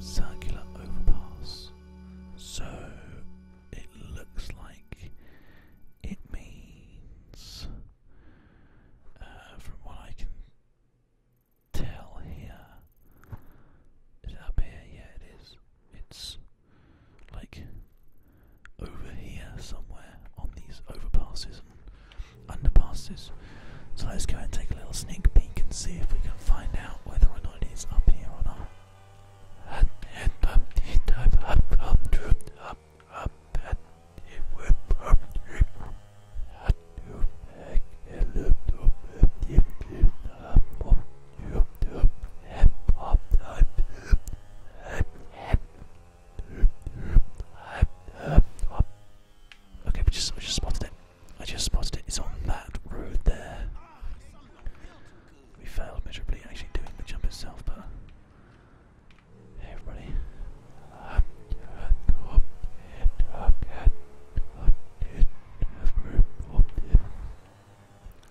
Circular overpass. So it looks like it means, uh, from what I can tell here, is it up here? Yeah, it is. It's like over here somewhere on these overpasses and underpasses. So let's go and take a little sneak peek and see if we can find out whether or not it is up here or not. Okay, we just we just spotted it. I just spotted it. It's on that road there. We failed miserably actually doing the jump itself, but everybody.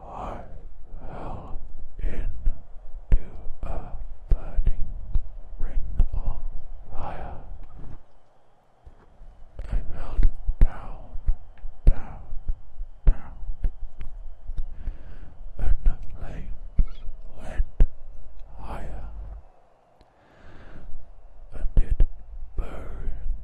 I fell into a burning ring of fire. I fell down, down, down, and the flames went higher, and it burned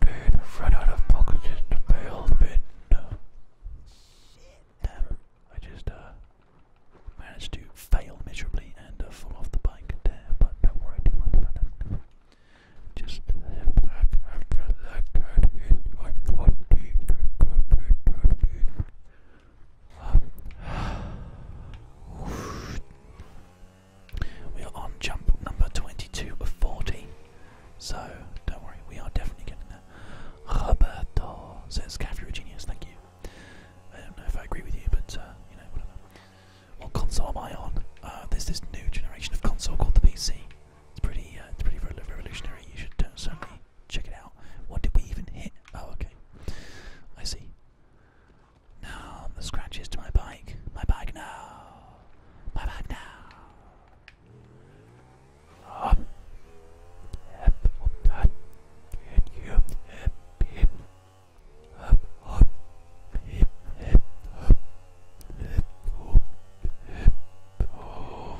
Dude, i out of pockets in the bail bin. Damn, I just uh, managed to fail miserably and uh, fall off the bike there, but don't worry Just sit we are on jump number 22 of 40. So don't worry, we are definitely getting there. Roberto says, "Gaff, you're a genius." Thank you. I don't know if I agree with you, but uh, you know, What console am I on? Uh, there's this new generation of console called the PC. It's pretty, uh, it's pretty revolutionary. You should uh, certainly check it out. What did we even hit? Oh, okay. I see. Now the scratches to my bike. My bike now. My bike now. Um, can you him? Um, um, him, him, um, him, um, him, oh.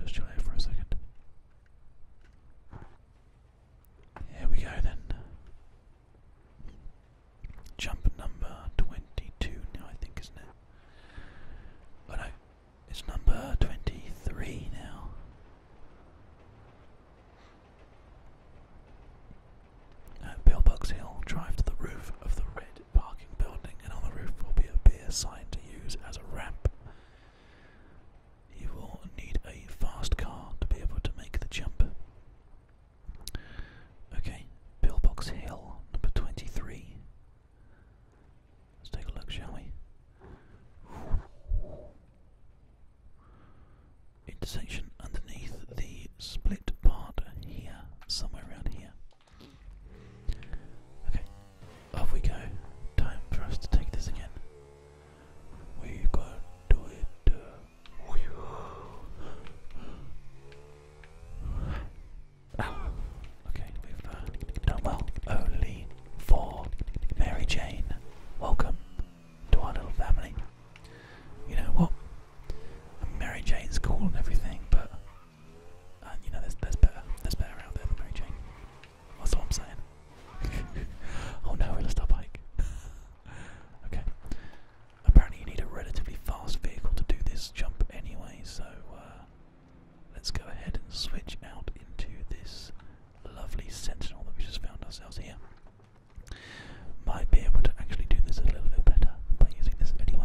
Just try it for a second. Here we go then. Jump number 22 now, I think, isn't it? Oh, no, it's number 23 now. At Pillbox Hill, drive to the roof of the red parking building, and on the roof will be a beer sign to use as a ramp. You will need a fast car to be able to make the jump. Okay, Pillbox Hill, number 23. Let's take a look, shall we? Intersection underneath the split part here, somewhere around here. Okay, off we go. Time for us to take this again. We've got to do it. Uh, Oh, okay, we've uh, done well. Only for Mary Jane. Welcome to our little family. You know what? Mary Jane's cool and everything, but uh, you know, there's better. There's better out there than Mary Jane. That's all I'm saying. oh no, we lost our bike. okay. Apparently, you need a relatively fast vehicle to do this jump anyway, so uh, let's go ahead and switch out into this lovely sentinel that we just found ourselves here. Might be able to actually do this a little bit better by using this anyway.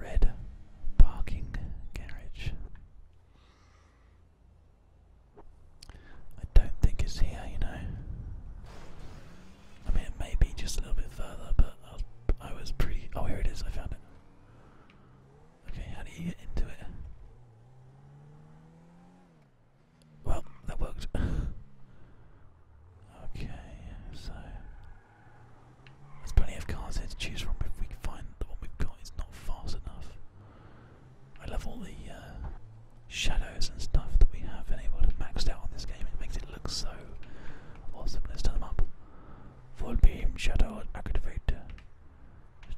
Red parking garage. I don't think it's here, you know. I mean, it may be just a little bit further, but I was, I was pretty. Oh, here it is, I found it. Okay, how do you get into it? Well, that worked. okay, so there's plenty of cars here to choose from. If we find the one we've got is not fast enough, I love all the uh, shadows and stuff that we have been able to max out on this game. It makes it look so awesome. Let's turn them up. Full beam shadow activator.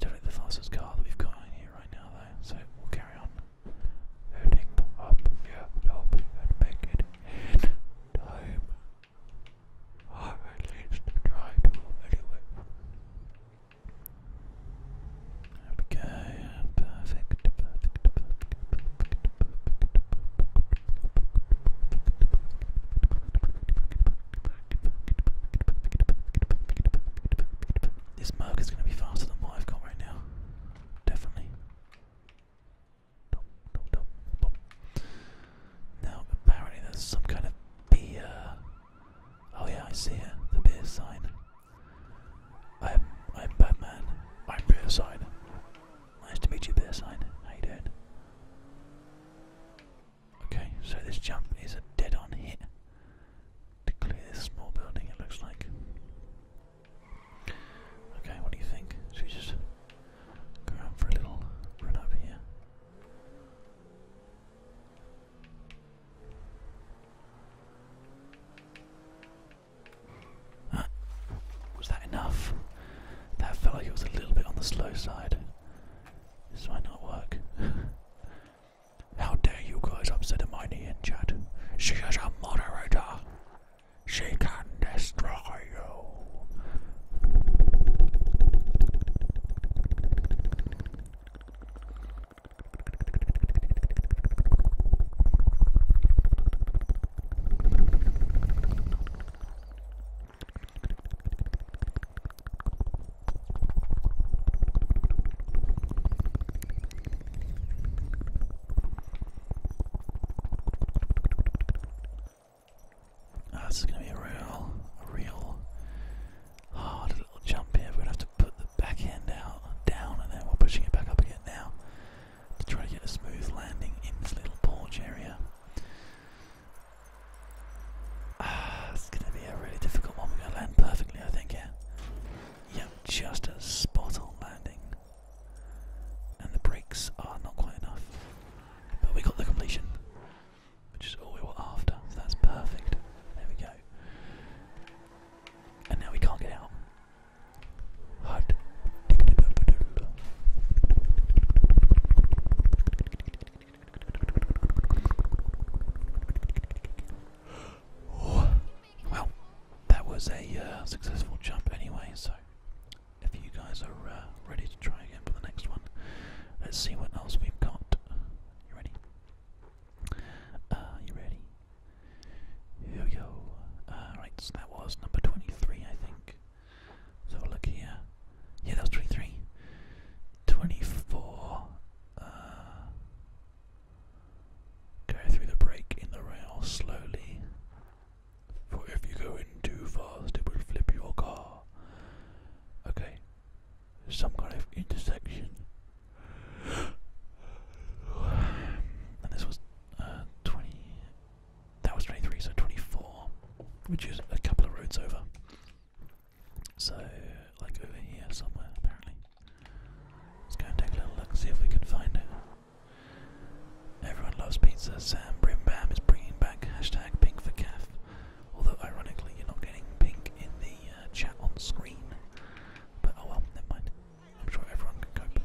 definitely the fastest car that we've got in here right now, though. So we'll carry on heading up your lobby and make it in time. Or at least try to anyway. Okay, perfect, perfect, perfect, perfect, perfect, perfect. This mug is going to be faster than what I've got right now definitely. Now, apparently, there's some kind of beer. Oh, yeah, I see it. The beer sign. I'm, I'm Batman. I'm beer sign. Nice to meet you, beer sign. Hey dude. Okay, so this jump is a dead-on hit to clear this small building. It looks like. Okay, what do you think? Should we just go out for a little run up here? Ah, was that enough? That felt like it was a little bit on the slow side. This might not work. How dare you guys upset Hermione in chat? She is a moderator. She can destroy you. Oh, this is going to be a real, a real hard little jump here. We're going to have to put the back end out, down, and then we're pushing it back up again now to try to get a smooth landing in this little porch area. Ah, it's going to be a really difficult one. We're going to land perfectly, I think, yeah. Yep, just a spot on landing. And the brakes are not quite enough. But we got the completion, which is all we were after, so that's perfect. There we go. And now we can't get out. Hut. Well, that was a uh, successful jump anyway, so if you guys are uh, ready to try again for the next one, let's see what else we've got. You ready? Uh, you ready? Here we go. right, so that was number 23, I think. So look here. Yeah, that was 23. Go through the break in the rail slowly, for if you go in too fast, it will flip your car. Okay, some kind of intersection. And this was uh, 20. That was 23, so 24, which is a couple of roads over. So, like over here somewhere, apparently. Let's go and take a little look and see if we can find it. Everyone loves pizza. Sam Brimbam is bringing back hashtag pink for calf. Although, ironically, you're not getting pink in the uh, chat on screen. But oh well, never mind. I'm sure everyone can cope.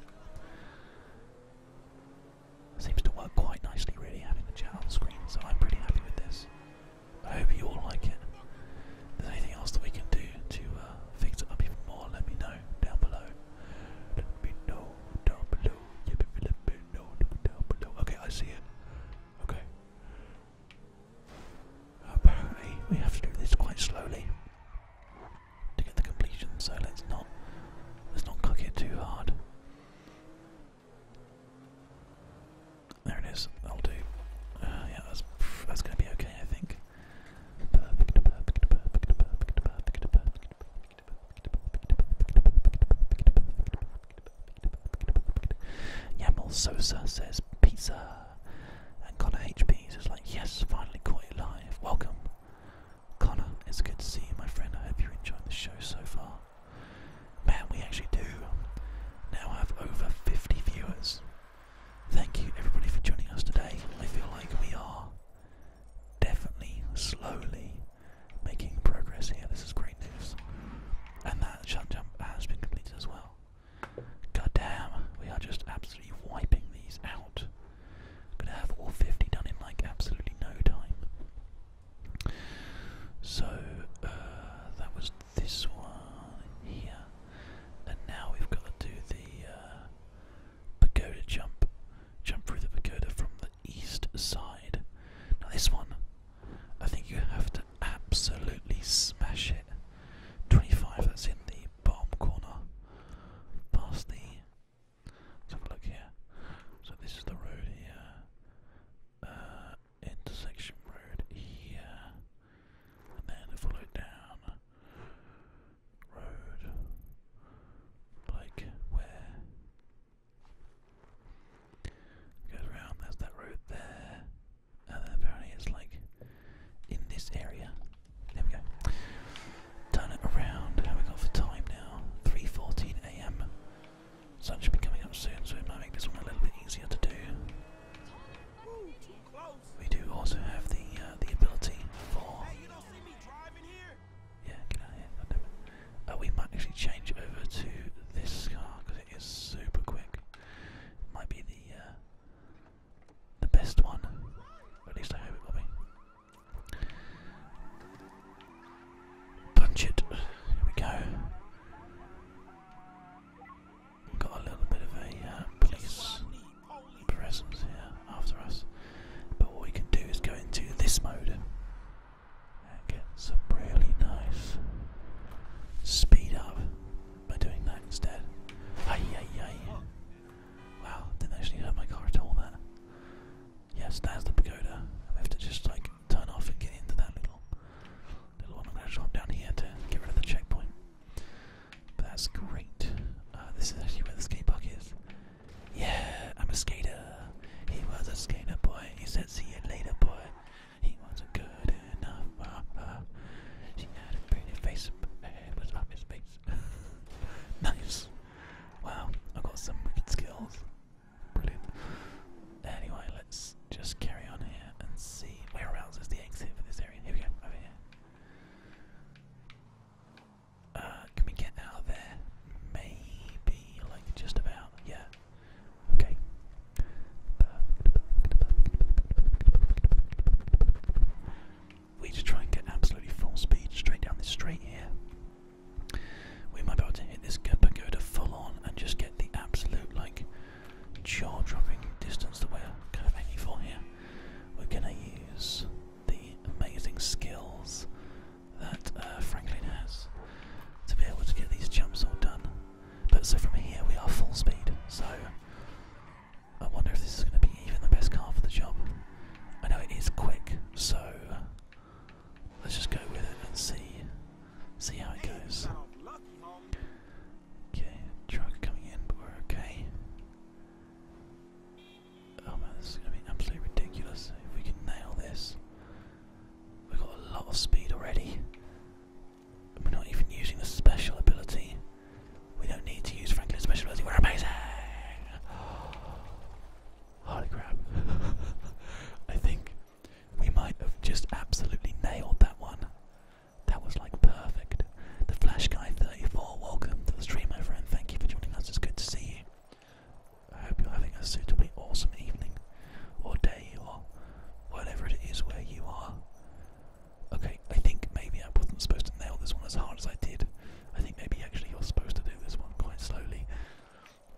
Seems to work quite nicely, really, having the chat on screen, so I'm pretty happy with this. I hope you all like it there's anything else that we can do to uh, fix it up even more, let me know down below. Let me know down below. Okay, I see it. Okay. Apparently, we have to do this quite slowly to get the completion. So let's not let's not cook it too hard. There it is. I'll do. Uh, yeah, that's that's gonna be okay, I think perfect, perfect, perfect, perfect, perfect, perfect. Yamal Sosa says pizza, and Connor HB is like, yes, finally caught you live. Welcome, Connor. It's good to see you, my friend. I hope you're enjoying the show so far. Man, we actually do now have over 50 viewers. Thank you everybody for joining us today. I feel like we are definitely slowly making progress here. This is great news. And that shut jump has been completed as well. God damn, we are just absolutely wiping these out. Gonna have all 50 done in like absolutely no time. So, uh, that was this one here and now we've got to do the uh, pagoda jump. Jump through the pagoda from the east side. Now this one, I think you have to absolutely smash it. 25, that's in the bottom corner. Past the... Let's have a look here. So this is the road here. Uh, intersection road here and then follow down road like where goes around there's that road there and then apparently it's like in this area there we go turn it around how we got for time now 3.14 a.m sun should be coming up soon so it might make this one a little bit easier to do we do also have the uh, the ability for. driving here? Yeah, get out here, God damn it. Uh, we might actually change over to this car because it is super quick. It might be the uh, the best one. at least I hope it will be. Punch it. Here we go got a little bit of a uh, police presence here after us. But what we can do is go into this mode and get some really nice speed up by doing that instead. Ay, ay, ay. Wow, didn't actually hurt my car at all that. Yes, that's the pagoda. We have to just like turn off and get into that little little one. I'm gonna drop down here to get rid of the checkpoint that's great. Uh, this is actually where the skate park is. Yeah, I'm a skater. He was a skater boy. He said, see you later, boy. He wasn't good enough. Uh, uh. She had a pretty face, but her his face. nice. Wow, I've got some wicked skills. Brilliant. Anyway, let's just carry on here and see. Where else is the exit for this area? Here we go, over here. Uh, can we get out of there? Maybe, like just about, yeah. Okay. We just try and get absolutely full speed straight down this straight here. We might be able to hit this Pagoda full on and just get the absolute, like, jaw dropping distance that we're kind of aiming for here we're going to use the amazing skills that uh, Franklin has to be able to get these jumps all done. But so from here we are full speed, so I wonder if this is going to be even the best car for the job. I know it is quick, so let's just go with it and see see how it goes. Okay, truck coming in, but we're okay. Oh man, this is gonna be absolutely ridiculous if we can nail this. We've got a lot of speed already. We're not even using the special ability. We don't need to use Franklin's special ability, we're amazing! Holy crap. I think we might have just absolutely nailed that one. That was like perfect. The Flash Guy 34, welcome to the stream, my friend. Thank you for joining us. It's good to see you. I hope you're having a suitably awesome evening, or day, or whatever it is where you are. Okay, I think maybe I wasn't supposed to nail this one as hard as I did. I think maybe actually you're supposed to do this one quite slowly.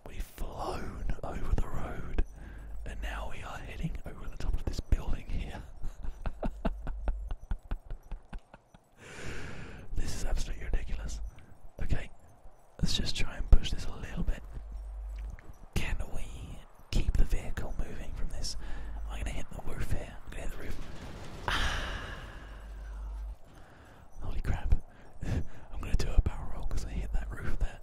We've flown over the road, and now we are heading over the top of this building here. this is absolutely ridiculous. Okay, let's just try and push this a little bit. Can we keep the vehicle moving from this? I'm gonna hit the roof here. I'm gonna hit the roof. Ah. Holy crap. I'm gonna do a barrel roll because I hit that roof there.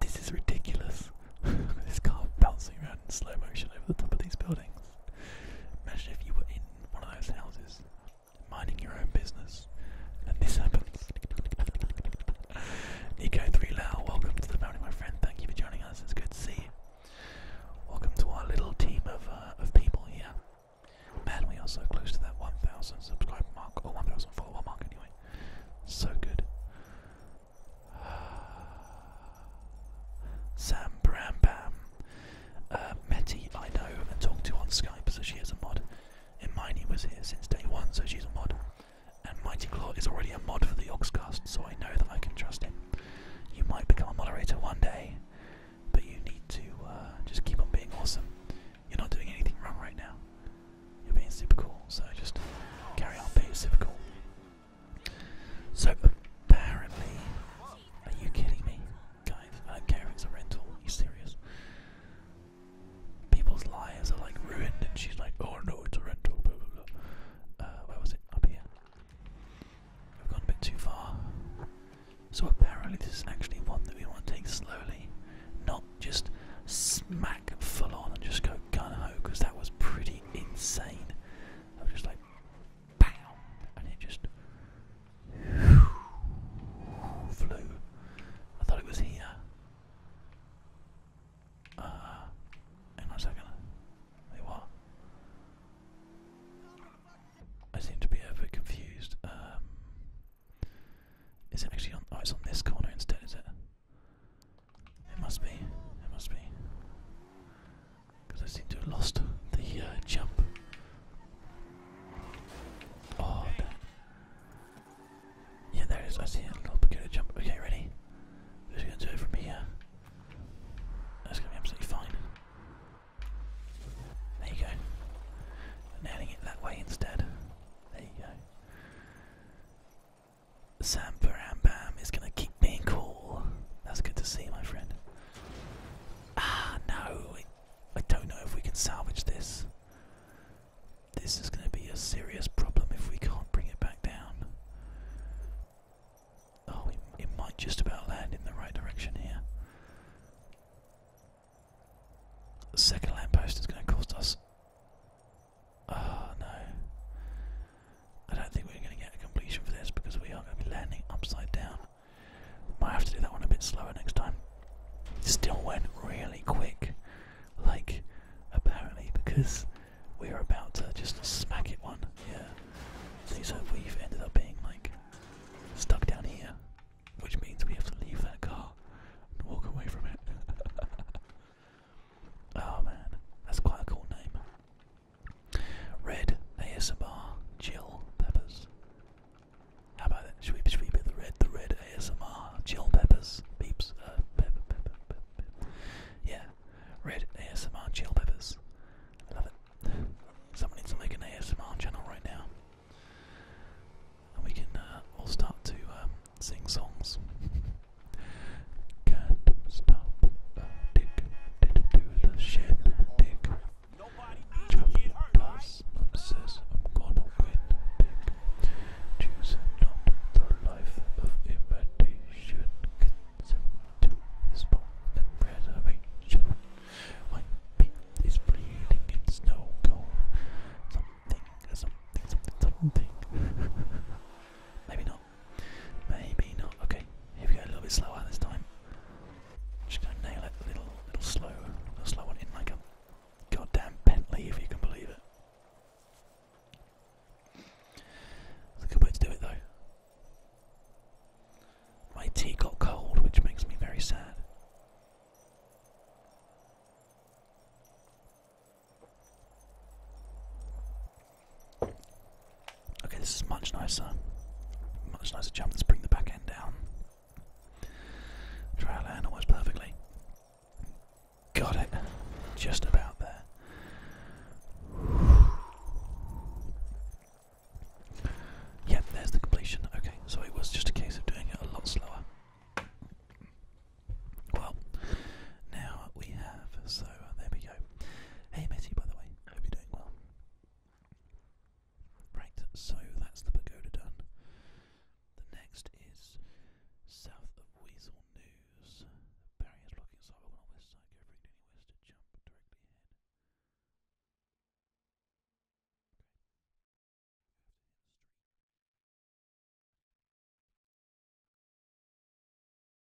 This is ridiculous. this car bouncing around slow motion over the top of these buildings. Imagine if you were in one of those houses, minding your own business, and this happens. Nico3 Lau, welcome to the family, my friend. Thank you for joining us. It's good to see you. Welcome to our little team of, uh, of people here. Man, we are so close to that 1,000 subscriber mark, or 1,000 follower mark anyway. So good. Sam Brampam. Uh, Metty, I know and talked to on Skype, so she is a mod. And Miney was here since day one, so she's a mod. And Mighty Claw is already a mod for the Oxcast, so I know that I can trust him. You might become a moderator one day, but you need to uh, just keep on being awesome. You're not doing anything wrong right now. You're being super cool, so just carry on being super cool. So apparently, are you kidding me, guys? I a rental. you serious? People's lives are like ruined, and she's like, "Oh no, it's a rental." Blah, blah, blah. Uh, where was it? Up here. We've gone a bit too far. So apparently, this is actually one that we want to take slowly, not just smack full on and just go gun ho, because that was pretty insane. I was just like, BAM! And it just flew. I thought it was here. Uh, hang on a second. Wait, what? I seem to be a bit confused. Um, is it actually on? Oh, it's on this corner instead, is it? It must be. It must be. Because I seem to have lost the uh, jump. Oh, that. yeah, there it is. I see a little peculiar jump. Okay, ready? We're gonna do it from here. That's gonna be absolutely fine. There you go. And adding it that way instead. There you go. Samparam is gonna keep being cool. That's good to see, my friend. Ah, no. I don't know if we can salvage this. This is gonna be a serious problem if we can't bring it back down. Oh, it, might just about land in the right direction here. second lamppost is going to cost us. Oh no. I don't think we're going to get a completion for this because we are going to be landing upside down. Might have to do that one a bit slower next time. Still went really quick, like apparently because we are about to just smack it one. Yeah. so we've ended up being like stuck down here, which means we have to leave that car and walk away from it. oh man, that's quite a cool name. Red ASMR chill Peppers. How about that? Should we, should we the red, the red ASMR Jill Peppers? Beeps. Uh, yeah. Red ASMR Jill Peppers. love it. Someone needs to make an ASMR channel right now. And we can uh, all start to um, sing songs. Can't stop the did do the shit, dick. Jump does, says I'm gonna win, dick. Choose not the life of imitation, consent to his bone and preservation. My pit is bleeding in snow cone. Something, something, something, something. Maybe not. Maybe not. Okay, if we go. A little bit slower this time. Just gonna nail it a little, little slow, little slow one in like a goddamn Bentley, if you can believe it. It's a good way to do it, though. My tea got cold, which makes me very sad. Okay, this is much nicer. Much nicer jump. Let's bring the back end down. Try to perfectly. Got it. Just about there. Yep, there's the completion. Okay, so it was just a case of doing it a lot slower. Well, now we have, so there we go. Hey Missy, by the way, I hope you're doing well. Right, so that's the pagoda done. The next is south of Weasel News. Barry is Barriers blocking sidewalk on west side, go for it any west to jump directly ahead.